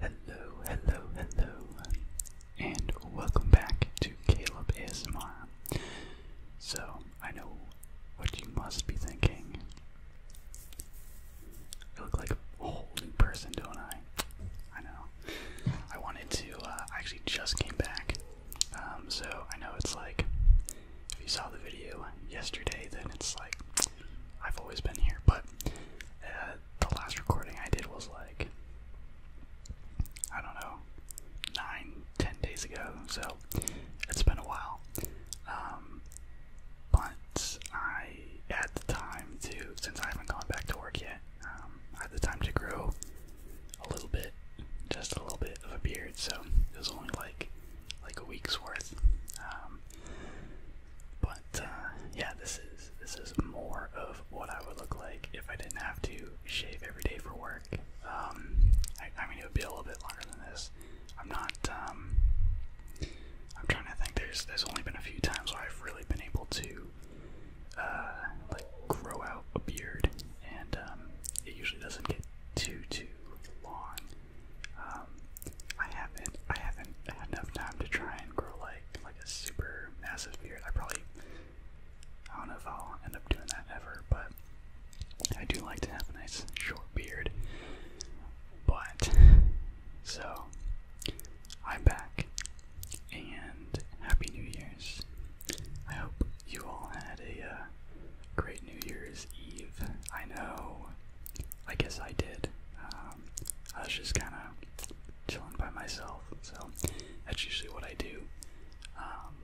Hello, hello, hello, and welcome back to Caleb ASMR. So, I know what you must be thinking. I look like a whole person, don't I? I know. I wanted to. Uh, I actually just came back, um, so I know it's like if you saw the video yesterday, then it's like I've always been here. But uh, the last recording I did was like I don't know nine, ten days ago. So it's been a while. Um, but I, at the time, too, since I haven't gone back to work yet. I um, had the time to grow a little bit, just a little bit of a beard, so it was only like like a week's worth. Um, but uh, yeah, this is this is more of what I would look like if I didn't have to shave every day for work. Um, I, mean, it would be a little bit longer than this. I'm not. I'm trying to think. There's there's only been a few times where I've really been able to uh, like grow out a beard, and um, it usually doesn't get too too long. Um, I haven't I haven't had enough time to try and grow like like a super massive beard. I probably I don't know if I'll end up doing that ever, but I do like to have a nice short beard. But so I'm back and Happy New Year's. I hope you all had a uh, great New Year's Eve. I know, I guess I did. Um, I was just kind of chilling by myself, so that's usually what I do. Um,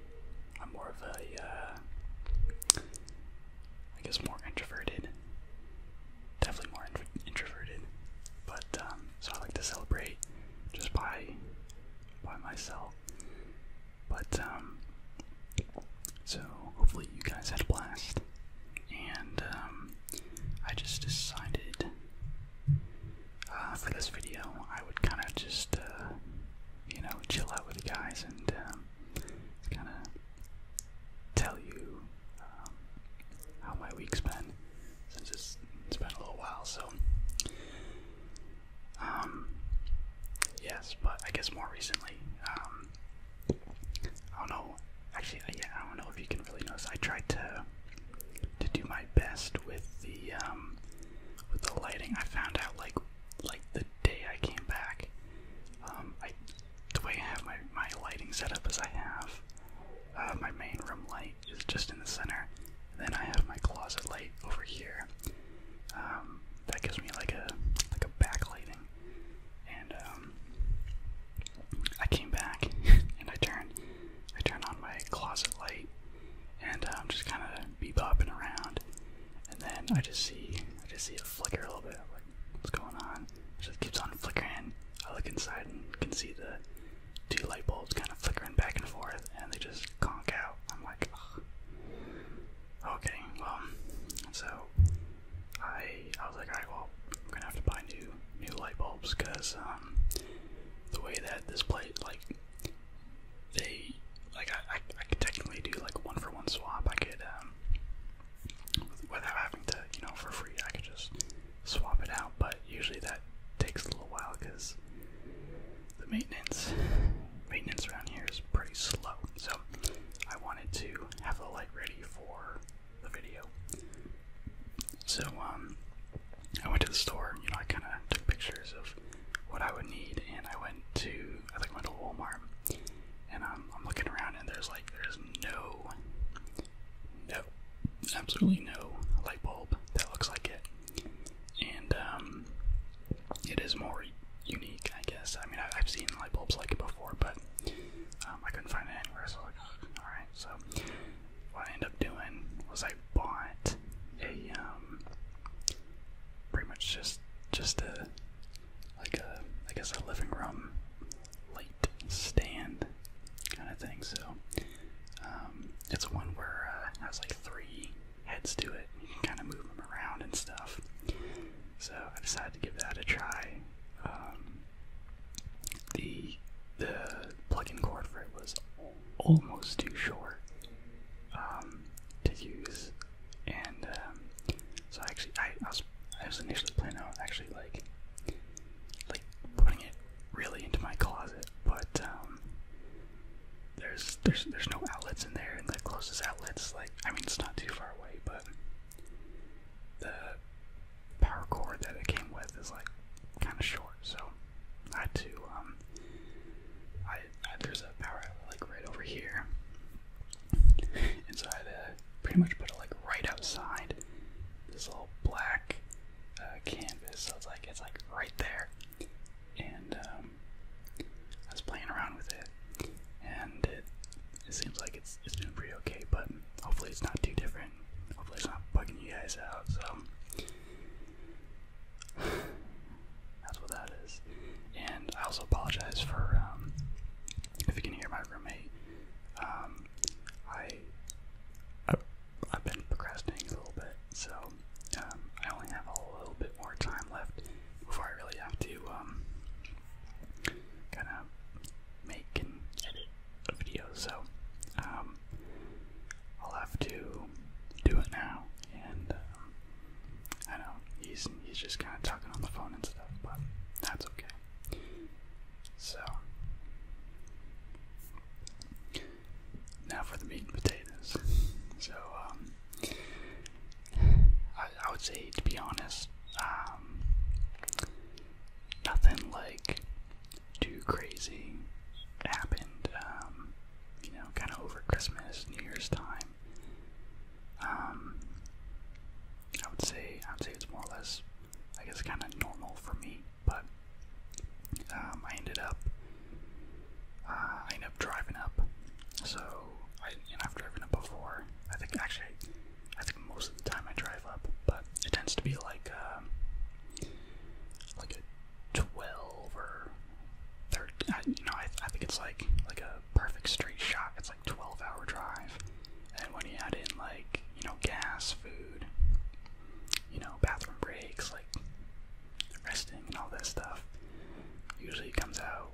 I'm more of a, uh, I guess, more introverted. Definitely more introverted, but um, so I like to celebrate just by by myself. But um, so hopefully you guys had a blast. And um, I just decided uh, for this video I would kind of just uh, you know chill out with you guys and um, kind of tell you um, how my week's been since it's, it's been a little while. So, um, yes, but I guess more recently, um, I don't know. Actually, uh, yeah, I don't know if you can really notice. I tried to to do my best with the um, with the lighting. I found out like like the day I came back. Um, I the way I have my my lighting set up is I have uh, my main room light is just in the center. Then I have my closet light over here. Um, that gives me like a like a backlighting. And um, I came back and I turned I turned on my closet light and I'm um, just kind of be bopping around. And then I just see I just see it flicker a little bit. like, what's going on? just keeps on flickering. I look inside and can see the two light bulbs kind of flickering back and forth, and they just conk out. I'm like, okay, well, so I I was like, alright, well, I'm gonna have to buy new new light bulbs because um, the way that this plate like they like I, I I could technically do like one for one swap. I could um without having to you know for free. I could just swap it out, but usually that takes a little while because the maintenance maintenance around here is pretty slow. So I wanted to have the light ready for the video. So um, I went to the store. You know, I kind of took pictures of what I would need, and I went to I think went to Walmart, and I'm, um, I'm looking around, and there's like there's no no, absolutely no light bulb that looks like it. And um, it is more unique, I guess. I mean, I, have seen light bulbs like it before, but um, I couldn't find it anywhere, so I was all right. So what I end up doing was I bought a um, pretty much just just a like a I guess a living room light stand kind of thing. So um, it's one where uh, has like three heads to it. You can kind of move them around and stuff. So I decided to give that a try. Um, the the plug-in cord for it was almost too short um, to use, and so I actually I, was I was initially planning on actually like like putting it really into my closet but um, there's there's there's no outlets in there, and the closest outlets like I mean it's not too far away, but the power cord that it came with is like kind of short, so I had to um, I, I there's a power outlet like right over here, and so I had to pretty much put it like right outside this little black uh, canvas, so it's like it's like right there. And um, I was playing around with it, and it, seems like it's it's doing pretty okay. But hopefully it's not too different. Hopefully it's not fucking you guys out. So that's what that is. And I also apologize for um, if you can hear my roommate. Um, I, I I've been procrastinating a little bit so um, I only have a little bit more time left before I really have to um, kind of make and edit a video. So um, I'll have to do it now. And I know he's he's just kind of talking on the phone and stuff, but that's okay. So. Now for the meat and potatoes. So, um, I, would say, to be honest, um, nothing like too crazy happened, um, you know, kind of over Christmas, New Year's time. I would say, I would say it's more or less, I guess, kind of normal for me late, but um, I ended up uh, I ended up driving up. So I and I've driven up before. I think actually I think most of the time I drive up, but it tends to be like um, like a twelve or thirteen. I, you know, I, I think it's like like a perfect straight shot. It's like twelve hour drive, and when you add in like you know gas, food, you know, bathroom breaks, like resting and all that stuff. Usually comes out,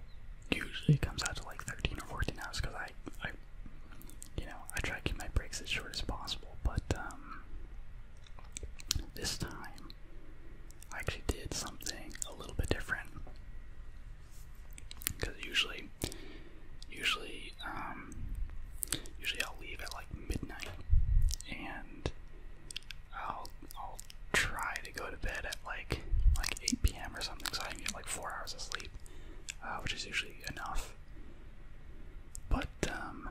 usually comes out to like 13 or 14 hours because I, I, you know, I try to keep my breaks as short as possible. But um, this time, I actually did something a little bit different because usually, usually, um, usually I'll leave at like midnight and I'll I'll try to go to bed at like like 8 p.m. or something, so I can get like four hours of sleep, uh, which is usually enough. But um,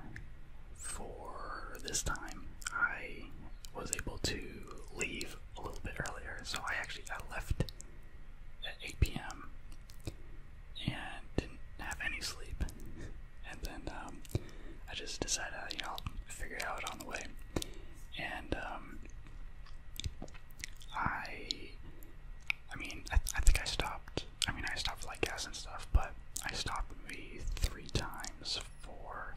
for this time, I was able to leave a little bit earlier, so I actually I left at 8 p.m. and didn't have any sleep and then um, I just decided, you know, figure it out on the way. And um, I, I mean, I, I think I stopped. I mean, I stopped like gas and stuff, but I stopped maybe three times for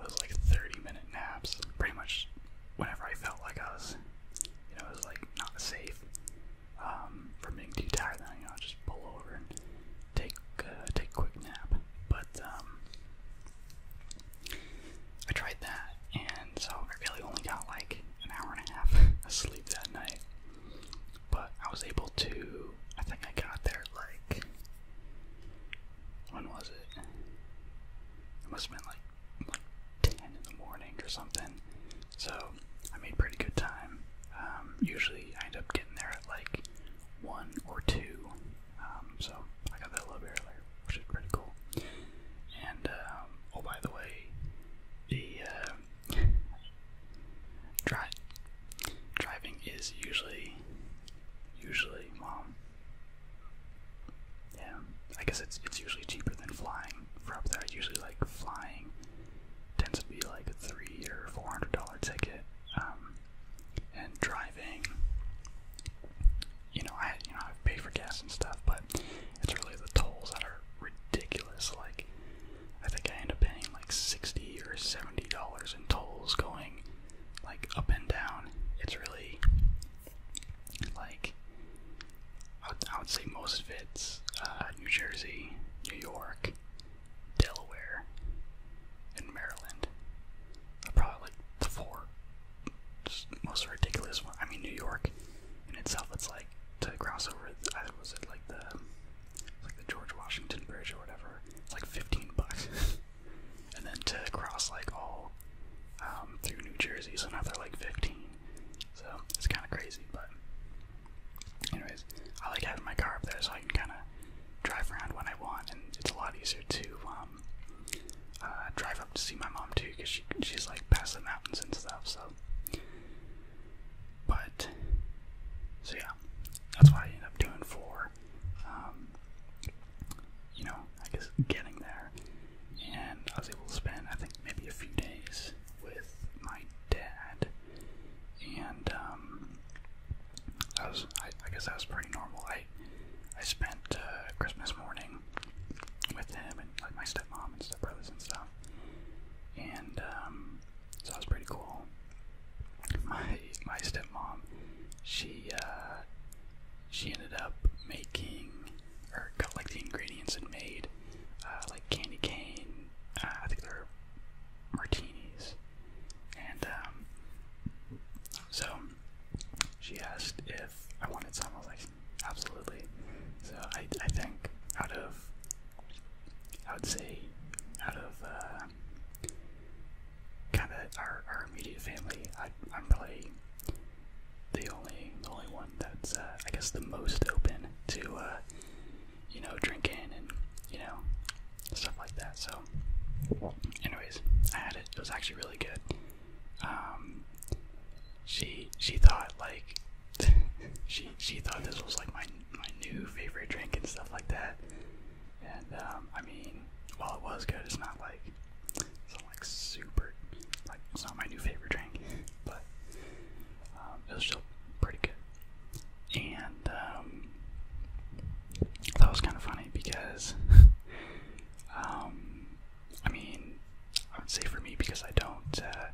those like 30-minute naps. Pretty much whenever I felt like I was, you know, it was like not safe. Um, um, from being too tired, then you know, I'll just pull over and take uh, take a quick nap. But um, I tried that, and so I really only got like an hour and a half of sleep that night. But I was able to. I think I got there like when was it? It must have been like like ten in the morning or something. So I made pretty good time. Um, usually I end up getting there at like 1 or 2, um, so I got that a little bit earlier, which is pretty cool. And, um, oh by the way, the uh, driving is usually, usually, well, yeah, I guess it's, it's usually cheaper than flying for there. I usually like flying tends to be like a three or four hundred dollar ticket. Um, and driving, you know, I you know I pay for gas and stuff, but it's really the tolls that are ridiculous. Like I think I end up paying like sixty or seventy dollars in tolls going like up and down. It's really like I would, I would say most of it's uh, New Jersey, New York, Delaware, and Maryland. probably like the four most ridiculous I mean, New York in itself, it's like to cross over. I was it like the like the George Washington Bridge or whatever. It's like fifteen bucks, and then to cross like all um, through New Jersey, so now they're like fifteen. So it's kind of crazy, but Anyways, I like having my car up there so I can kind of drive around when I want, and it's a lot easier to um, uh, drive up to see my mom too, because she, she's like past the mountains and stuff, so. But, so yeah, that's what I ended up doing for, um, you know, I guess getting there. And I was able to spend, I think, maybe a few days with my dad. And, um, that was, I, guess that was pretty normal. I, I spent uh, Christmas morning with him and like my stepmom and stepbrothers and stuff, and um, so that was pretty cool. My my stepmom, she uh, she ended up making or got like the ingredients and made uh, like candy cane. I think they're martinis. And um, so she asked if I wanted some. I was like, absolutely. So I, I think out of, I would say, out of uh, kind of our, our immediate family, I, I'm really the only the only one that's uh, I guess the most open to uh, you know, drinking and, you know, stuff like that. So, anyways, I had it. It was actually really good. Um, she she thought like she she thought this was like my my new favorite drink and stuff like that. And um, I mean, while it was good, it's not like it's not like super like it's not my new favorite drink, but um, it was still pretty good and um, that was kind of funny because, um, I mean, I would say for me because I don't. Uh,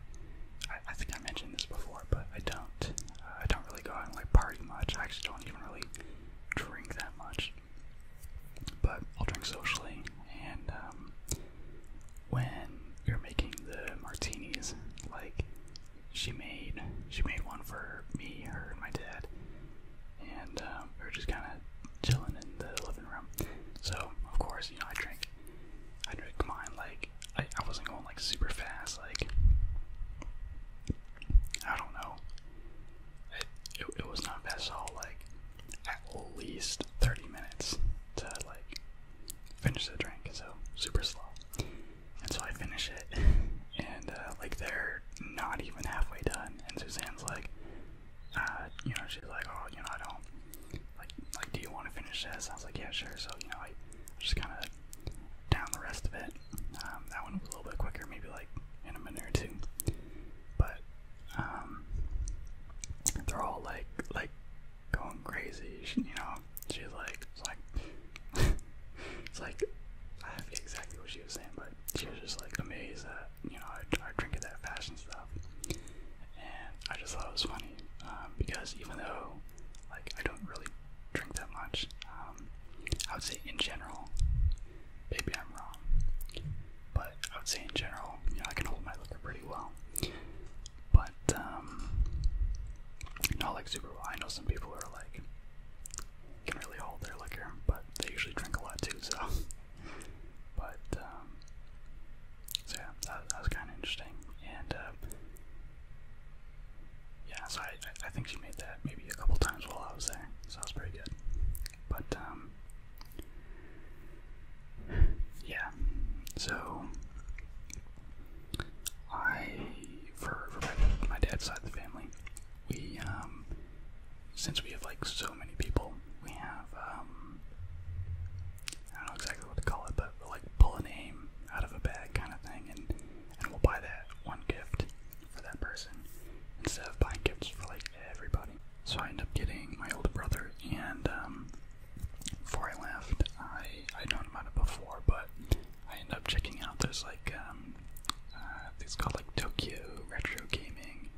I, think I mentioned this before, but I don't. Uh, I don't really go out and like party much. I actually don't even really drink that much. But I'll drink socially, and um, when you're making the martinis, like she made she made one for me, her, and my dad, and um, we are just kind of chilling in the living room. So of course, you know, I drank, I drank mine like I, I wasn't going like super fast, like I don't know. It, it, it was not fast at all. Like at least 30 minutes to like finish the drink, so super slow. And so I finish it, and uh, like they're not even halfway done. And Suzanne's like, uh, you know, she's like, oh, you know, I don't like, like, do you want to finish this? I was like, yeah, sure. So you know, I, just kind of down the rest of it. Um, that one was a little bit quicker, maybe like in a minute or two. But um, they're all like, like going crazy, you know she's like, it's like, it's like, I forget exactly what she was saying, but she was just like amazed that you know I, drink it that fashion stuff, and I just thought it was funny um, because even though like I don't really drink that much, um, I would say in general, maybe I'm wrong, but I would say in general, you know I can hold my liquor pretty well, but um, not like super well. I know some people are like can really hold their liquor, but they usually drink a lot too, so. But, um, so yeah, that, that was kind of interesting. And, uh, yeah, so I, I think she made that maybe a couple times while I was there, so that was pretty good. But, um, yeah, so I, for, my, dad's side of the family, we, um, since we have like so many people, we have, um, I don't know exactly what to call it, but we'll, like pull a name out of a bag kind of thing, and, and we'll buy that one gift for that person instead of buying gifts for like everybody. So I end up getting my older brother, and um, before I left, I I'd known about it before, but I end up checking out this like um, uh, it's called like Tokyo Retro Gaming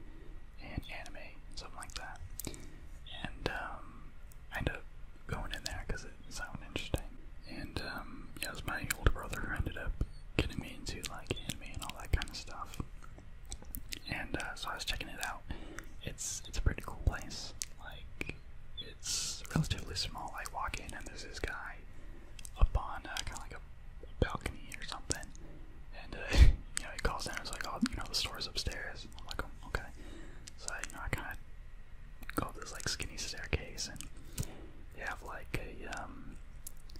and Anime, something like that. And um, I end up going in there because it sounded interesting. And um, yeah, it was my older brother who ended up getting me into like anime and all that kind of stuff. And uh, so I was checking it out. It's it's a pretty cool place. Like it's relatively small. I walk in and there's this guy up on uh, kind of like a balcony or something, and uh, you know he calls in. and It's like, oh, you know, the store's upstairs. I'm like, oh, okay. So you know, I kind of go up this like skinny staircase, and they have like a um,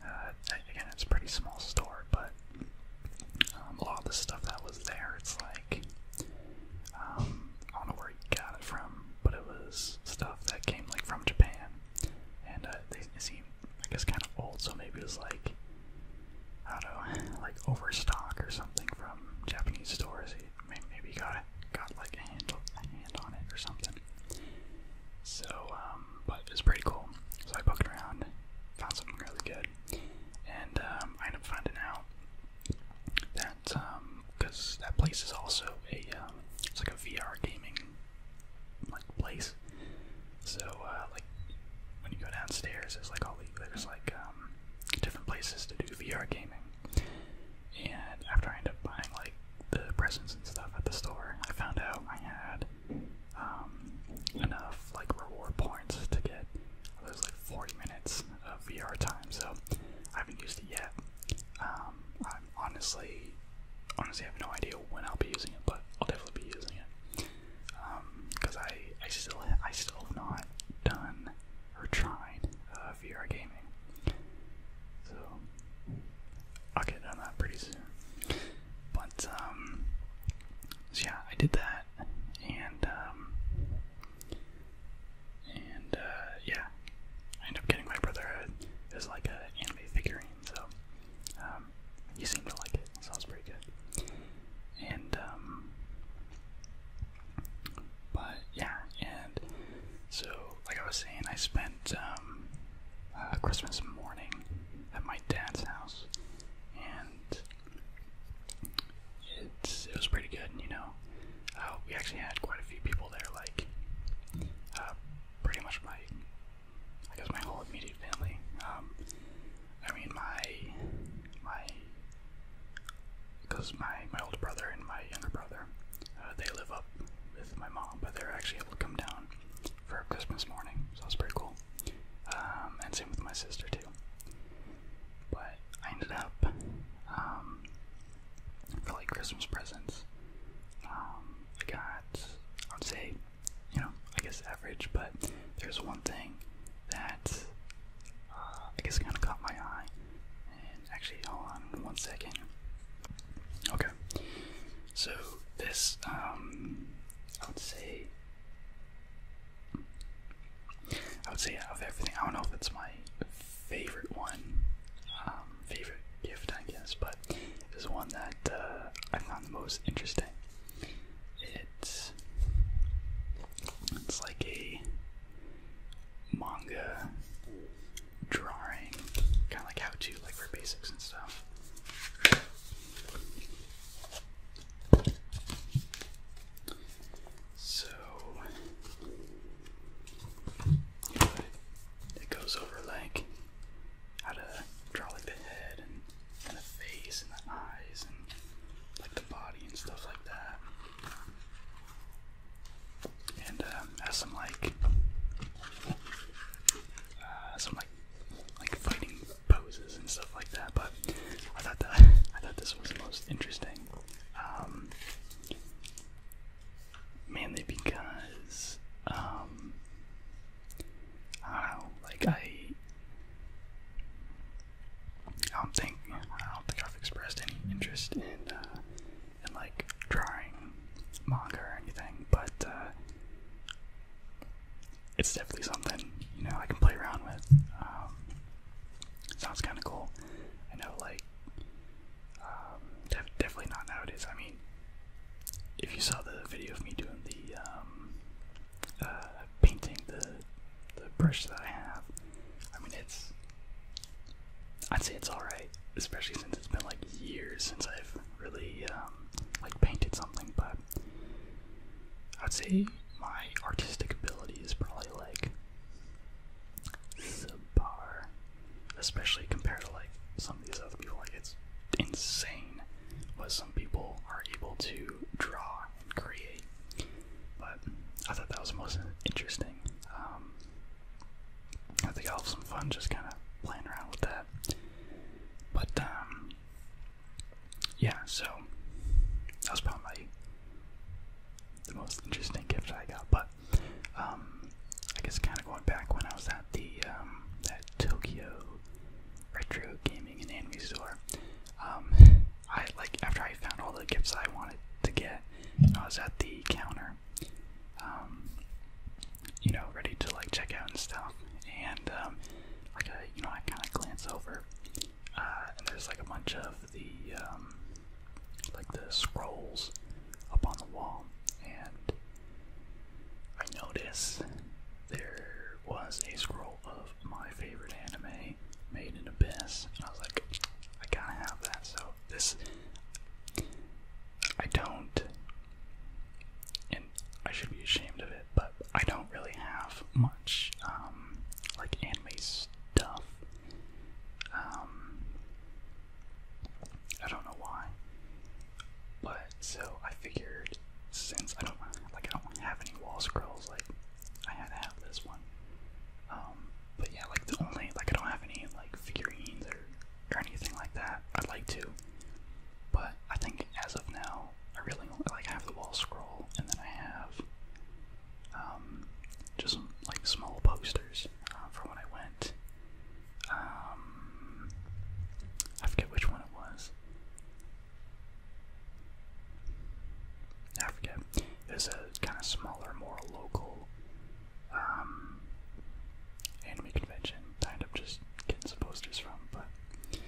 uh, again, it's a pretty small store, but um, a lot of the stuff that was there, it's like. Um, I don't know where he got it from, but it was stuff that came like from Japan, and uh, they seem I guess kind of old, so maybe it was like I don't know, like overstock or something from Japanese stores. He maybe got got like a handle a hand on it or something. So, um, but it was pretty cool. So I booked around, found something really good, and um, I ended up finding out that um, because that place is also a um, it's like a VR gaming like place. So uh, like when you go downstairs, there's like all there's like um, different places to do VR gaming. And after I end up buying like the presents and stuff at the store, I found out I had um, enough like reward points to get those like 40 minutes of VR time. So I haven't used it yet honestly, honestly, I have no idea when I'll be using it, but I'll definitely be using it. Um, cause I, I still, I still have not done or tried uh, VR gaming. So I'll get on that pretty soon. But um, so yeah, I did that, and um, and uh, yeah, I end up getting my brotherhood a, as like a anime figurine, so um, you seem to like it, Sounds pretty good. And um, but yeah, and so like I was saying, I spent um, uh, Christmas morning at my dad's house, and it's it was pretty good, you know. Uh, we actually had quite a few people there, like uh, pretty much my, I my whole immediate family. Um, I mean my, my, because my my older brother and my younger brother, uh, they live up with my mom, but they're actually able to come down for Christmas morning, so it's pretty cool. Um, and same with my sister too. But I ended up um, for like Christmas presents. Um, I got, I would say, you know, I guess average, but there's one thing that uh, I guess kind of caught my eye. And actually, hold on one second. Okay, so this, um, I would say, I would say out of everything, I don't know if it's my favorite one. Um, favorite gift, I guess, but is one that uh, I found the most interesting. It's it's like a manga drawing, kind of like how to, like for basics and stuff. So it goes over like how to draw like the head and, the face and the eyes and like the body and stuff like that. And um, has some like uh, some like like fighting poses and stuff like that. But I thought that I thought this was the most interesting. Um, mainly because um, I don't like I I don't think I don't think I've expressed any interest in uh, in like drawing manga or anything, but uh, it's definitely something, you know, I can play around with. Um, sounds kinda cool. I know like um, definitely not nowadays. I mean, if you saw the video of me doing the um, uh, painting the the brush that I have, I mean it's I'd say it's all right, especially since it's been like years since I've really um, like painted something. But I'd say my artistic ability is probably like subpar especially compared to like some of these other people. Like it's insane what some people are able to draw and create. But I thought that was most interesting. Um, I think I'll have some fun just kind of playing around with that. But um, yeah, so that was probably the most interesting gift I got. But um, I guess kind of going back when I was at the um, Tokyo retro gaming and anime store. Um, I like after I found all the gifts I wanted to get, I was at the counter. Um, you know, ready to like check out and stuff, and like I, you know, I kind of glance over, uh, and there's like a bunch of the like the scrolls up on the wall, and I notice there was a scroll of my favorite anime, Made in Abyss, I was like, I gotta have that. So this, I don't, and I should be ashamed of it, but I don't really have much um, like anime stuff. Um, I don't know why. But so I figured since I don't like I don't have any wall scrolls, like I had to have this one. Um, but yeah, like the only like I don't have any like figurines or or anything like that. I'd like to, but I think as of now, I really only, like I have the wall scroll, and then I have um, just some, like small posters uh, for when I went um, I forget which one it was. I forget. It was a kind of smaller, more local um, anime convention. I end up just getting some posters from, but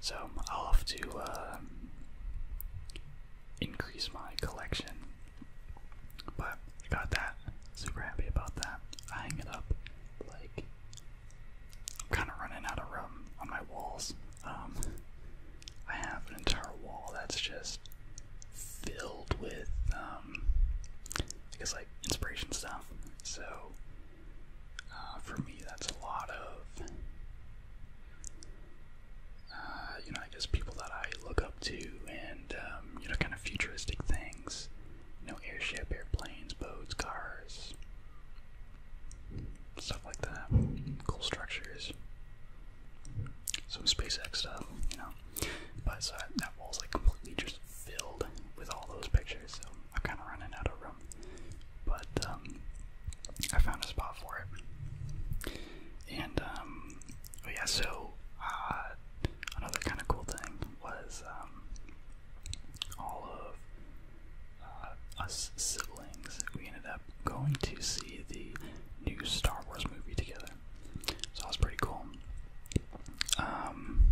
so I'll have to um, increase my collection. But got that. Super happy about that. I hang it up like I'm kind of running out of room on my walls. Um, I have an entire wall that's just filled with um, I guess like inspiration stuff. So uh, for me, that's a lot of uh, you know I guess people that I look up to and um, you know, kind of futuristic things. You know, airship, airplanes, boats, cars, stuff like that. Cool structures. Some SpaceX stuff, you know. But so that wall's like completely just filled with all those pictures, so I'm kind of running out of room. But um, I found a spot for it. And um, oh yeah, so uh, another kind of cool thing was uh, um, all of uh, us siblings, we ended up going to see the new Star Wars movie together. So that was pretty cool. Um,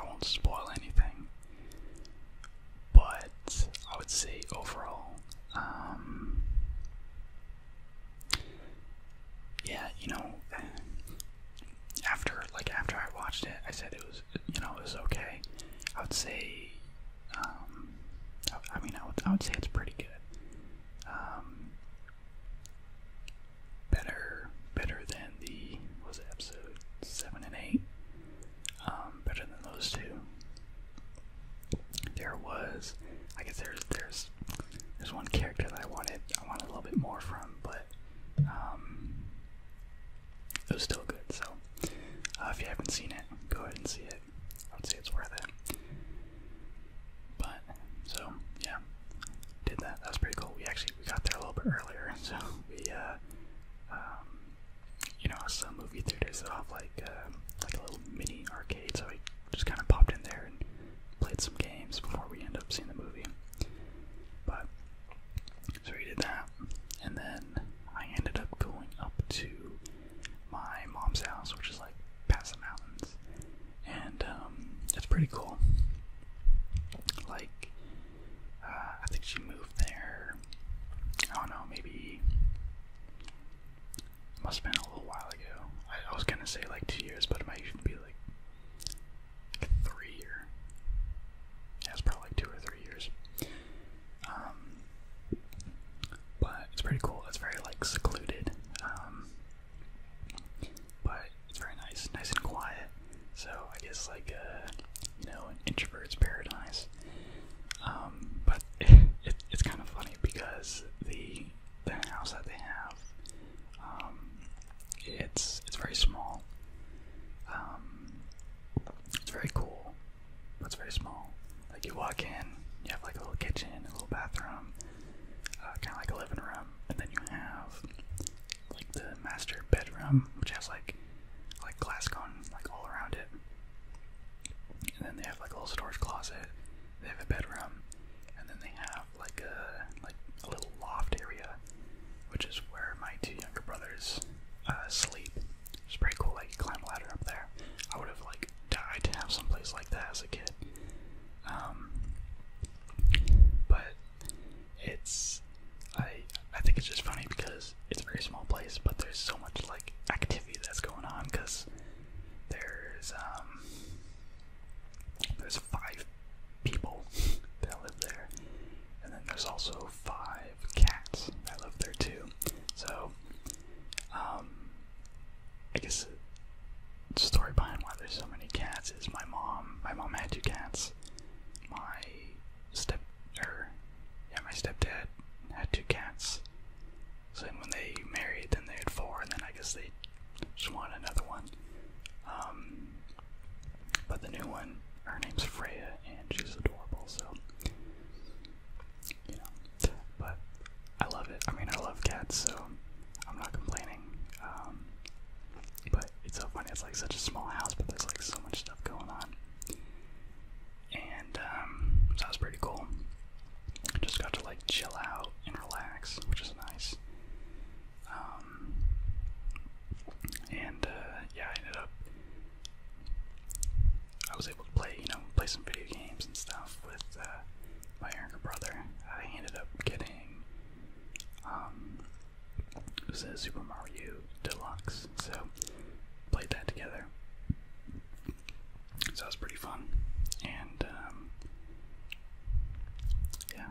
I won't spoil anything, but I would say overall, um, yeah, you know, after like after I watched it, I said it was you know it was okay. I would say, um, I, mean, I would I would say it's pretty good. Um, better better than the was episode seven and eight. Um, better than those two. There was, I guess there's there's there's one character that I wanted I wanted a little bit more from, but but um, it was still good. So uh, if you haven't seen it, go ahead and see it. I would say it's worth it. But so yeah, did that. That was pretty cool. We actually we got there a little bit earlier, so we uh, um, you know, some movie theaters set off like uh, like a little mini arcade, so we just kind of popped in there and played some games before we end up seeing the movie. But so we did that, and then I ended up going up to my mom's house, which is like past the mountains, and um, it's pretty cool. Like, uh, I think she moved there. I don't know, maybe must have been a little while ago. I was gonna say like two years, but it might even be like three year. Yeah, it's probably like two or three years. Um, but it's pretty cool. It's very like secluded. Um, but it's very nice, nice and quiet. So I guess like a, uh, you know, introvert's paradise. Um, but it's kind of funny because the the house that they have um, it's it's very small. Um, it's very cool, but it's very small. Like you walk in, you have like a little kitchen, a little bathroom, uh, kind of like a living room, and then you have like the master bedroom, which has like like glass gone like all around it. And then they have like a little storage closet. They have a bedroom, and then they have like a like a little loft area, which is where my two younger brothers uh, sleep. It's pretty cool. Like climb ladder up there. I would have like died to have someplace like that as a kid. Um, but it's I I think it's just funny because it's a very small place, but there's so much like activity that's going on because there's um there's five people that live there. And then there's also five cats that live there too. So, um, I guess the story behind why there's so many cats is my mom. My mom had two cats. My step, er, yeah, my stepdad had two cats. So when they married, then they had four, and then I guess they just wanted another one. Um, but the new one, her name's Freya, and she's adorable, so you know. But I love it. I mean, I love cats, so I'm not complaining. Um, but it's so funny. It's like such a small house, but there's like so much stuff going on, and um, so that pretty cool. just got to like chill out and relax, which is nice. Um, and uh, yeah, I ended up. I was able to play, you know, play some video games and stuff with uh, my younger brother. I ended up getting um, it was a Super Mario Deluxe, so played that together. So it was pretty fun, and um, yeah,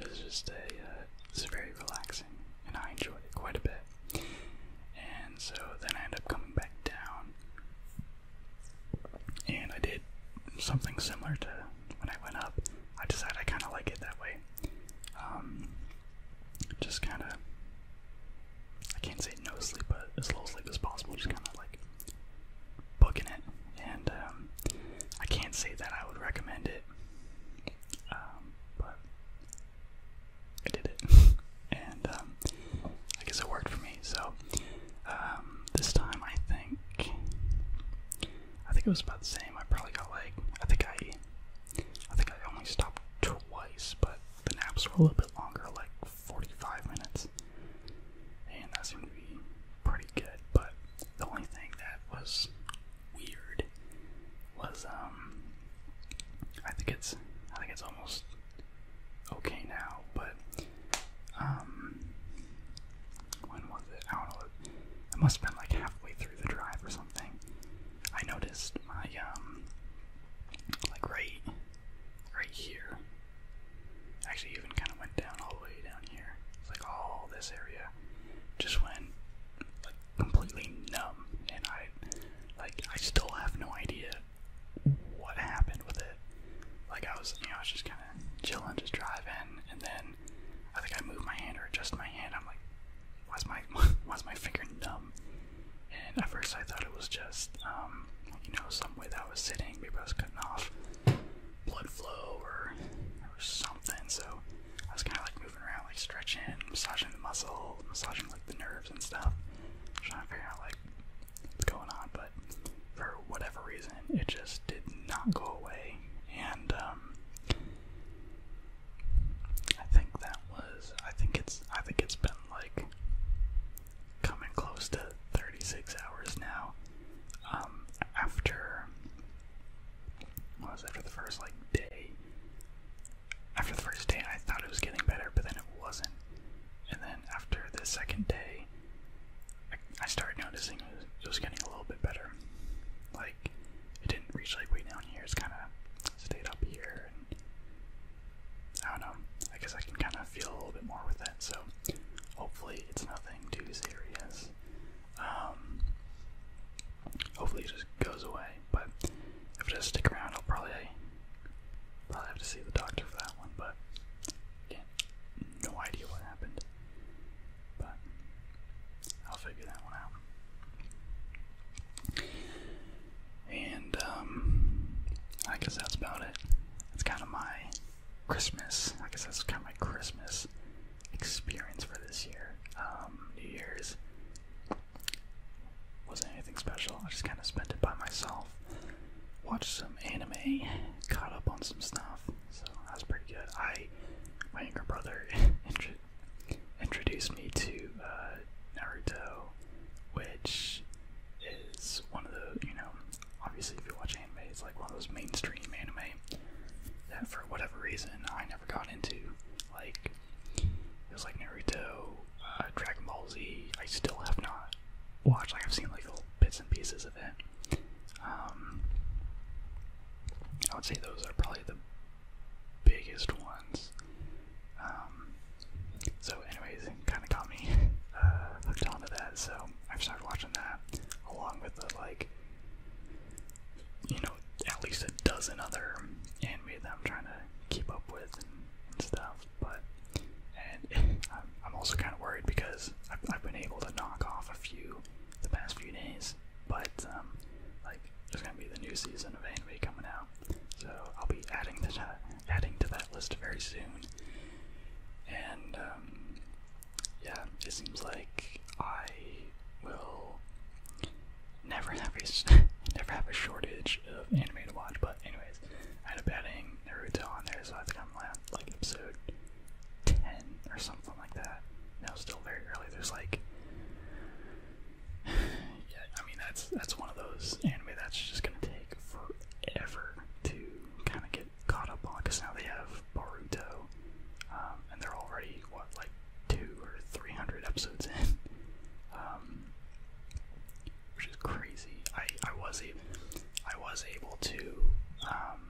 it was just a. Uh, it's very relaxing, and I enjoy it quite a bit. And so then I end up coming back down, and I did something similar to when I went up. I decided I kind of like it that way. Um, just kind of, I can't say no sleep, but as little sleep as possible, just kind of like booking it. And um, I can't say that I would recommend it, um, but I did it, and um, I guess it worked for me. So um, this time, I think, I think it was about the same. I probably got like, I think I, I think I only stopped twice, but the naps were a little bit longer, like 45 minutes, and that seemed to be pretty good. But the only thing that was weird was um I think it's I think it's almost okay now, but um when was it? I don't know. It must have been like halfway through the drive or something. I noticed my um like right right here. Actually even kinda went down all the way down here. It's like all this area just went like completely numb, and I like I still have no idea what happened with it. Like I was, you know, I was just kind of chilling, just driving, and then I think I moved my hand or adjusted my hand. I'm like, why's my why's my finger numb? And at first I thought it was just, um, you know, some way that I was sitting, maybe I was cutting off blood flow or or something. So I was kind of like around, like stretching, massaging the muscle, massaging like the nerves and stuff. trying to figure out like what's going on, but for whatever reason, it just did not go away. And um, I think that was. I think it's. I think it's been like coming close to 36 hours now. Um, after was after the first like day. After the first day, I thought it was getting better, but then it wasn't. And then after the second day, I, started noticing it was, it getting a little bit better. Like it didn't reach like way down here. It's kind of stayed up here, and I don't know. I guess I can kind of feel a little bit more with it. So hopefully, it's nothing too serious. Um, hopefully it just goes away, but if it does stick around, I'll probably probably have to see the doctor for that one. But again, no idea what happened, but I'll figure that one out. And um, I guess that's about it. That's kind of my Christmas. I guess that's kind of my Christmas experience for this year. Um, New Year's wasn't anything special. I just kind of spent it by myself. Watched some anime, caught up on some stuff, so that was pretty good. I, my younger brother, introduced me to uh, Naruto, which is one of the you know obviously if you watch anime, it's like one of those mainstream anime that for whatever reason I never never got into. Like it was like Naruto, uh, Dragon Ball Z. I still have not watched. Like I've seen like little bits and pieces of it. Um, I would say those are probably the biggest ones. Um, so, anyways, it kind of got me uh, hooked onto that. So I've started watching that along with the like you know, at least a dozen other anime that I'm trying to keep up with and, stuff. But and I'm, also kind of worried because I've, been able to knock off a few the past few days. But um, like, there's gonna be the new season of anime coming out, so I'll be adding to that, adding to that list very soon. And um, yeah, it seems like I will never have a never have a shortage of anime to watch. But anyways, I had a betting Naruto on there, so I think I'm at like episode ten or something like that. No, still very early. There's like, yeah, I mean that's that's one of those anime that's just gonna take forever to kind of get caught up on because now they have Boruto, um, and they're already what like two or three hundred episodes in, um, which is crazy. I I was even I was able to, um,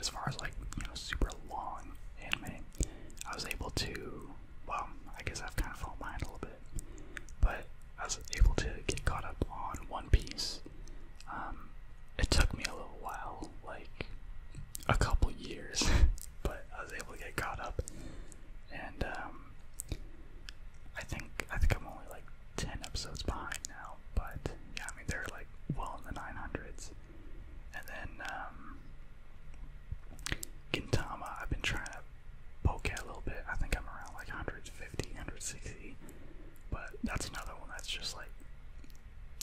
as far as like you know super long anime, I was able to. Well, I guess I've kind of fallen behind a little bit, but I was able to get caught up on One Piece. Um, it took me a little while, like a couple years but I was able to get caught up. And um, I think I think I'm only like ten episodes behind now, but yeah, I mean they're like well in the nine hundreds. And then um, Gintama, I've been trying to poke at a little bit. I think I'm around like 150, 160, but that's another one that's just like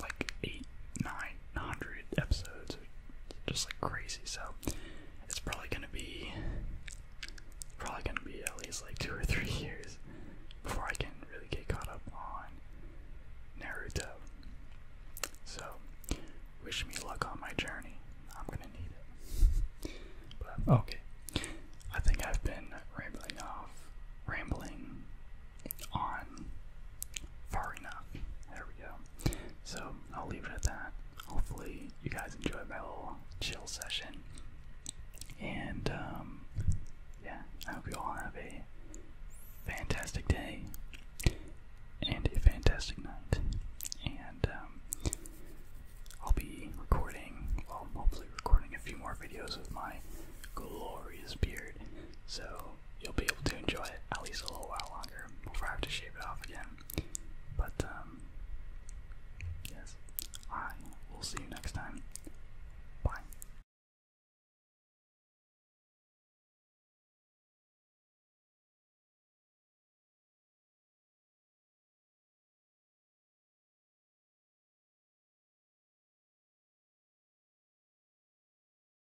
like eight, nine hundred episodes, just like crazy. So it's probably gonna be probably gonna be at least like two or three years before I can really get caught up on Naruto. So wish me luck on my journey. I'm gonna need it. But okay. I think I've been rambling off rambling on far enough. There we go. So I'll leave it at that. Hopefully, you guys enjoyed my little chill session. And um, yeah, I hope you all have a fantastic day and a fantastic night. And um, I'll be recording, well, hopefully, recording a few more videos with my glorious beard. So you'll be able to enjoy it at least a little while longer before I have to shave it off again. But, um, yes, I will see you next time. Bye.